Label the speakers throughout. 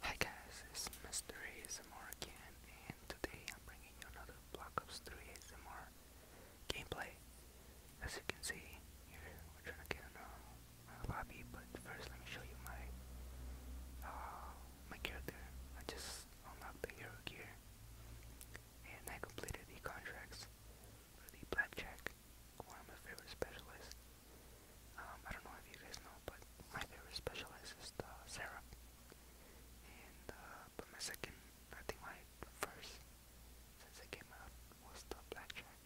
Speaker 1: Hi guys, it's Mr. ASMR again, and today I'm bringing you another Black Ops 3 ASMR gameplay. As you can see, here we're trying to get in a uh, lobby, but first let me show you my uh, my character. I just unlocked the hero gear, and I completed the contracts for the blackjack like one of my favorite specialists. Um, I don't know if you guys know, but my favorite specialist is the uh, Sarah. And uh, but my second, I think my first since it came out was the Blackjack.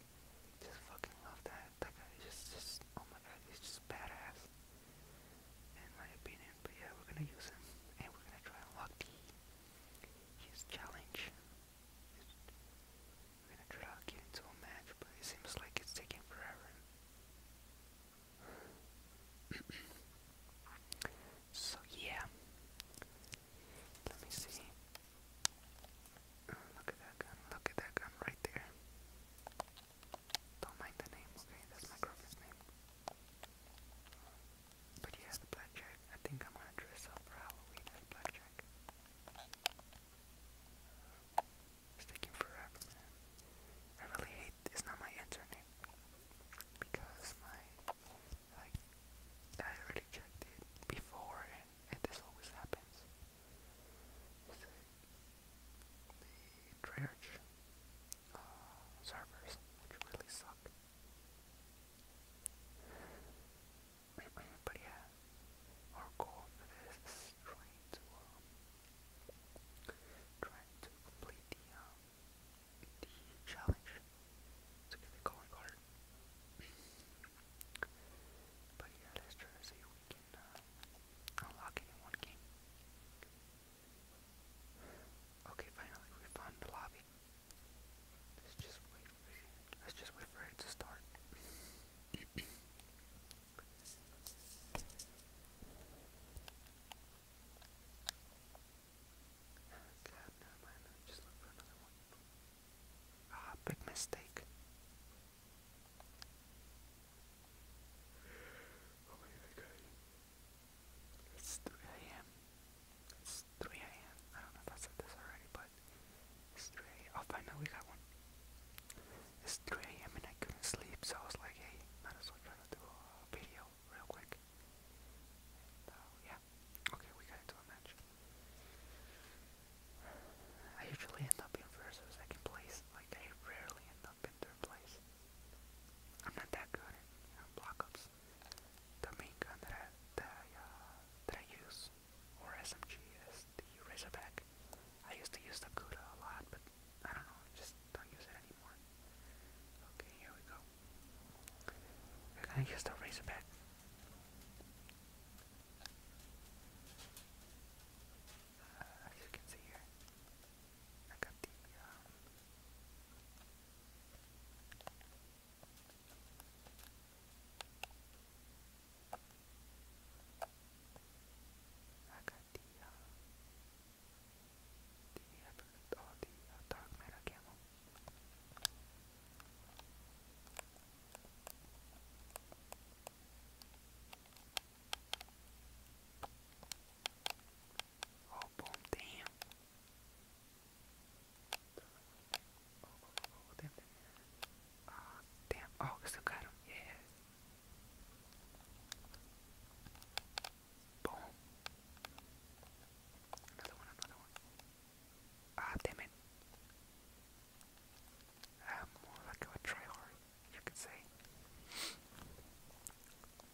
Speaker 1: Just fucking love that. That guy is just, just oh my god, he's just badass. In my opinion, but yeah, we're gonna use him and we're gonna try and unlock the his challenge I'm gonna try to get into a match, but it seems like it's taking forever. so yeah, let me see. Oh, look at that gun! Look at that gun right there. Don't mind the name, okay? That's my girlfriend's name. But yeah, the blackjack. I think I'm gonna dress up for Halloween as blackjack. It's taking forever, I really hate it's not my internet because my like I already checked it before and, this always happens. the Treyarch uh, servers, which really suck but yeah, our goal is trying to um, trying to complete the um, the challenge to get the calling card. but yeah, let's try to see if we can uh, unlock it in one Okay, finally we found the lobby. Let's just wait. Let's just wait for it to start. Ah, big mistake. It's 3 a.m. It's 3 a.m. I don't know if I said this already, but. It's three. Oh, finally we got one. Stray. I mean, I couldn't sleep, so I was like, hey, might as well try to do a video real quick. And, uh, yeah. Okay, we got into a match. I usually end up in first or second place. Like, I rarely end up in third place. I'm not that good at um, The main gun that that I, that I uh, use or SMG as the Razorback. I used to use the Cuda a lot, but I don't know, just don't use it anymore. Okay, here we go. We're gonna use the Razorback. Uh, as you can see here, I got the um, I got the, uh, the, I forgot, oh, the uh, dark matter camel. Oh, boom, damn. Oh, damn, damn, damn. Uh, damn. still got him. Yeah. Boom. Another one, another one. Ah, damn it. I'm more like a tryhard, you could say.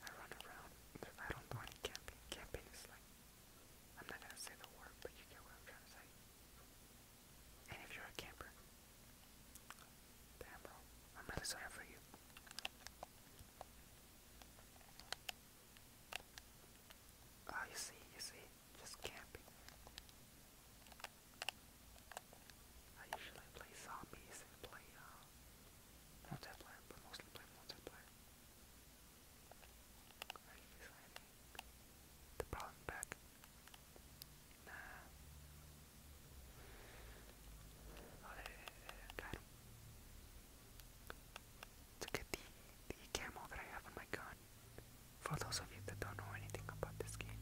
Speaker 1: I run around. I don't do any camping. Camping is like I'm not gonna say the word, but you get what I'm trying to say. And if you're a camper, damn bro, I'm really sorry for you. Oh, you see, you see, just camping. I usually play zombies and play uh, multiplayer, but mostly play multiplayer. Are you the problem back? Nah. Oh, there, the, the camo that I have on my gun. For those of you that don't know anything about this game,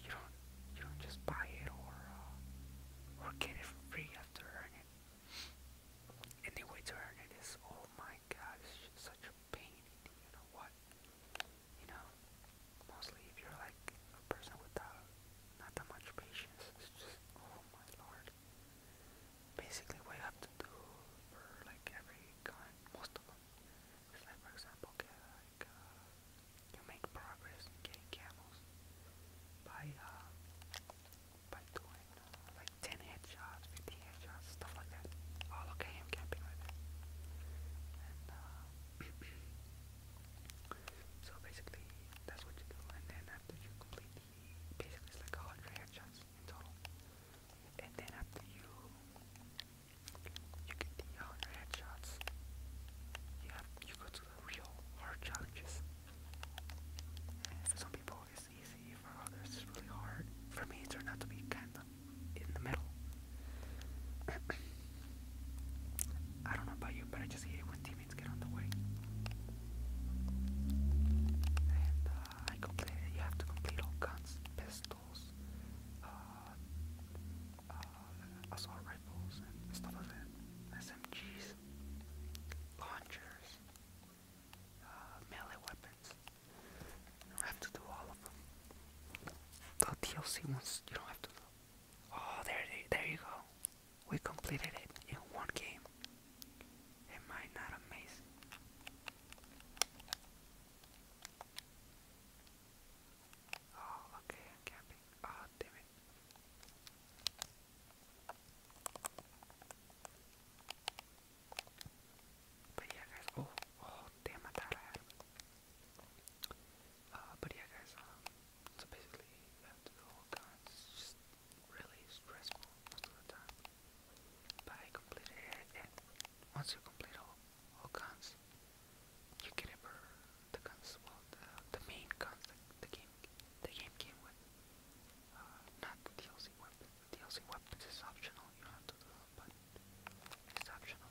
Speaker 1: you don't you don't just buy it or uh, or get it for free. You have it. And the way to earn it is, oh my gosh such a pain. You know what? You know, mostly if you're like a person without not that much patience, it's just, oh my lord. Basically, what you have to do for like every gun, most of them, is like, for example, like, uh, you make progress getting camels by, uh, by doing uh, like 10 headshots, fifteen headshots, stuff like that. Oh, look at camping And, uh, so basically, that's what you do. And then after you complete basically it's like 100 headshots in total. And then after you, you get the 100 headshots, you have, you go to real hard challenges. for some people it's easy, for others it's really hard. For me it turned out to be kinda in the middle. I don't know about you, but I just hate when teammates get on the way. And uh, I completed, you have to complete all guns, pistols, uh, uh, assault rifles, and stuff like that. SMGs launchers, uh, melee weapons. You don't have to do all of them. The DLC ones, you don't have to do. Oh, there, there you go. We completed it in one game. Am I not amazing? Oh, okay, I Oh, damn but yeah, guys. Oh, oh damn! I thought I had it. but yeah, guys. Um, so basically, after the whole time, it's just really stressful most of the time. But I completed it, once you complete all all guns, you get it for the cons well, the, the main guns the game the game came with. Uh, not DLC weapons. DLC weapons is optional. You have to do but it's optional.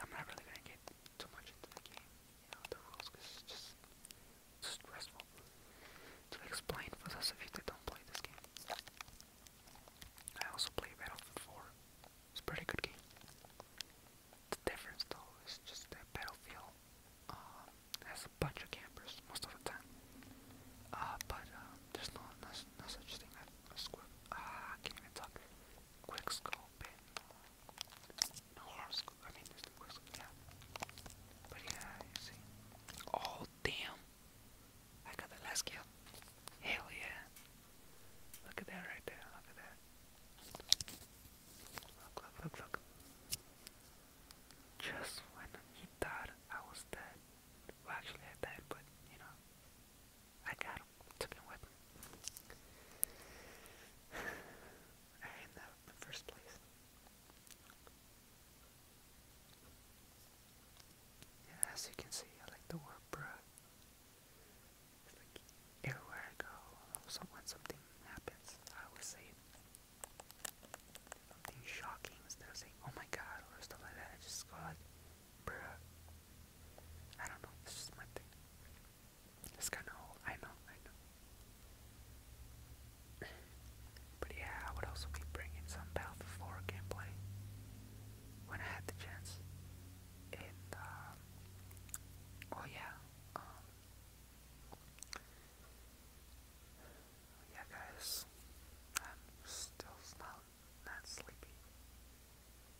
Speaker 1: I'm not really gonna get too much into the game, you the rules, cause it's just it's stressful to explain for those of you that don't play this game. I also play Battlefield 4. It's a pretty good game. The difference though is just that Battlefield um, has a bunch of campers most of the time. Uh, but uh, there's no, no, no such thing as a squib. Ah, uh, can't even talk. Quick scope and no horror scope. I mean, there's quick yeah. But yeah, you see. Oh, damn. I got the last kill. Hell yeah. Look at that right there. Look at that. Look, look, look, look. Just when he thought I was dead. Well, actually, I died, but you know, I got him. Took him with me. I ain't that in first place. Yeah, as you can see, I like the word bruh. It's like everywhere I go, so when something happens, I always say something shocking instead of saying, oh my god, or stuff like that. I just go like, bruh. I don't know, it's just my thing. It's kind of old. I know, I know. but yeah, I would also be bringing some Battlefield 4 gameplay when I had the chance oh yeah, um, oh yeah guys, I'm still not, not sleepy.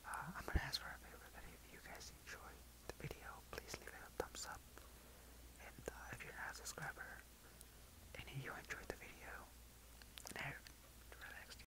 Speaker 1: Uh, I'm gonna ask for a favor that if you guys enjoy the video, please leave a thumbs up. And uh, if you're not a subscriber, and you enjoyed the video, and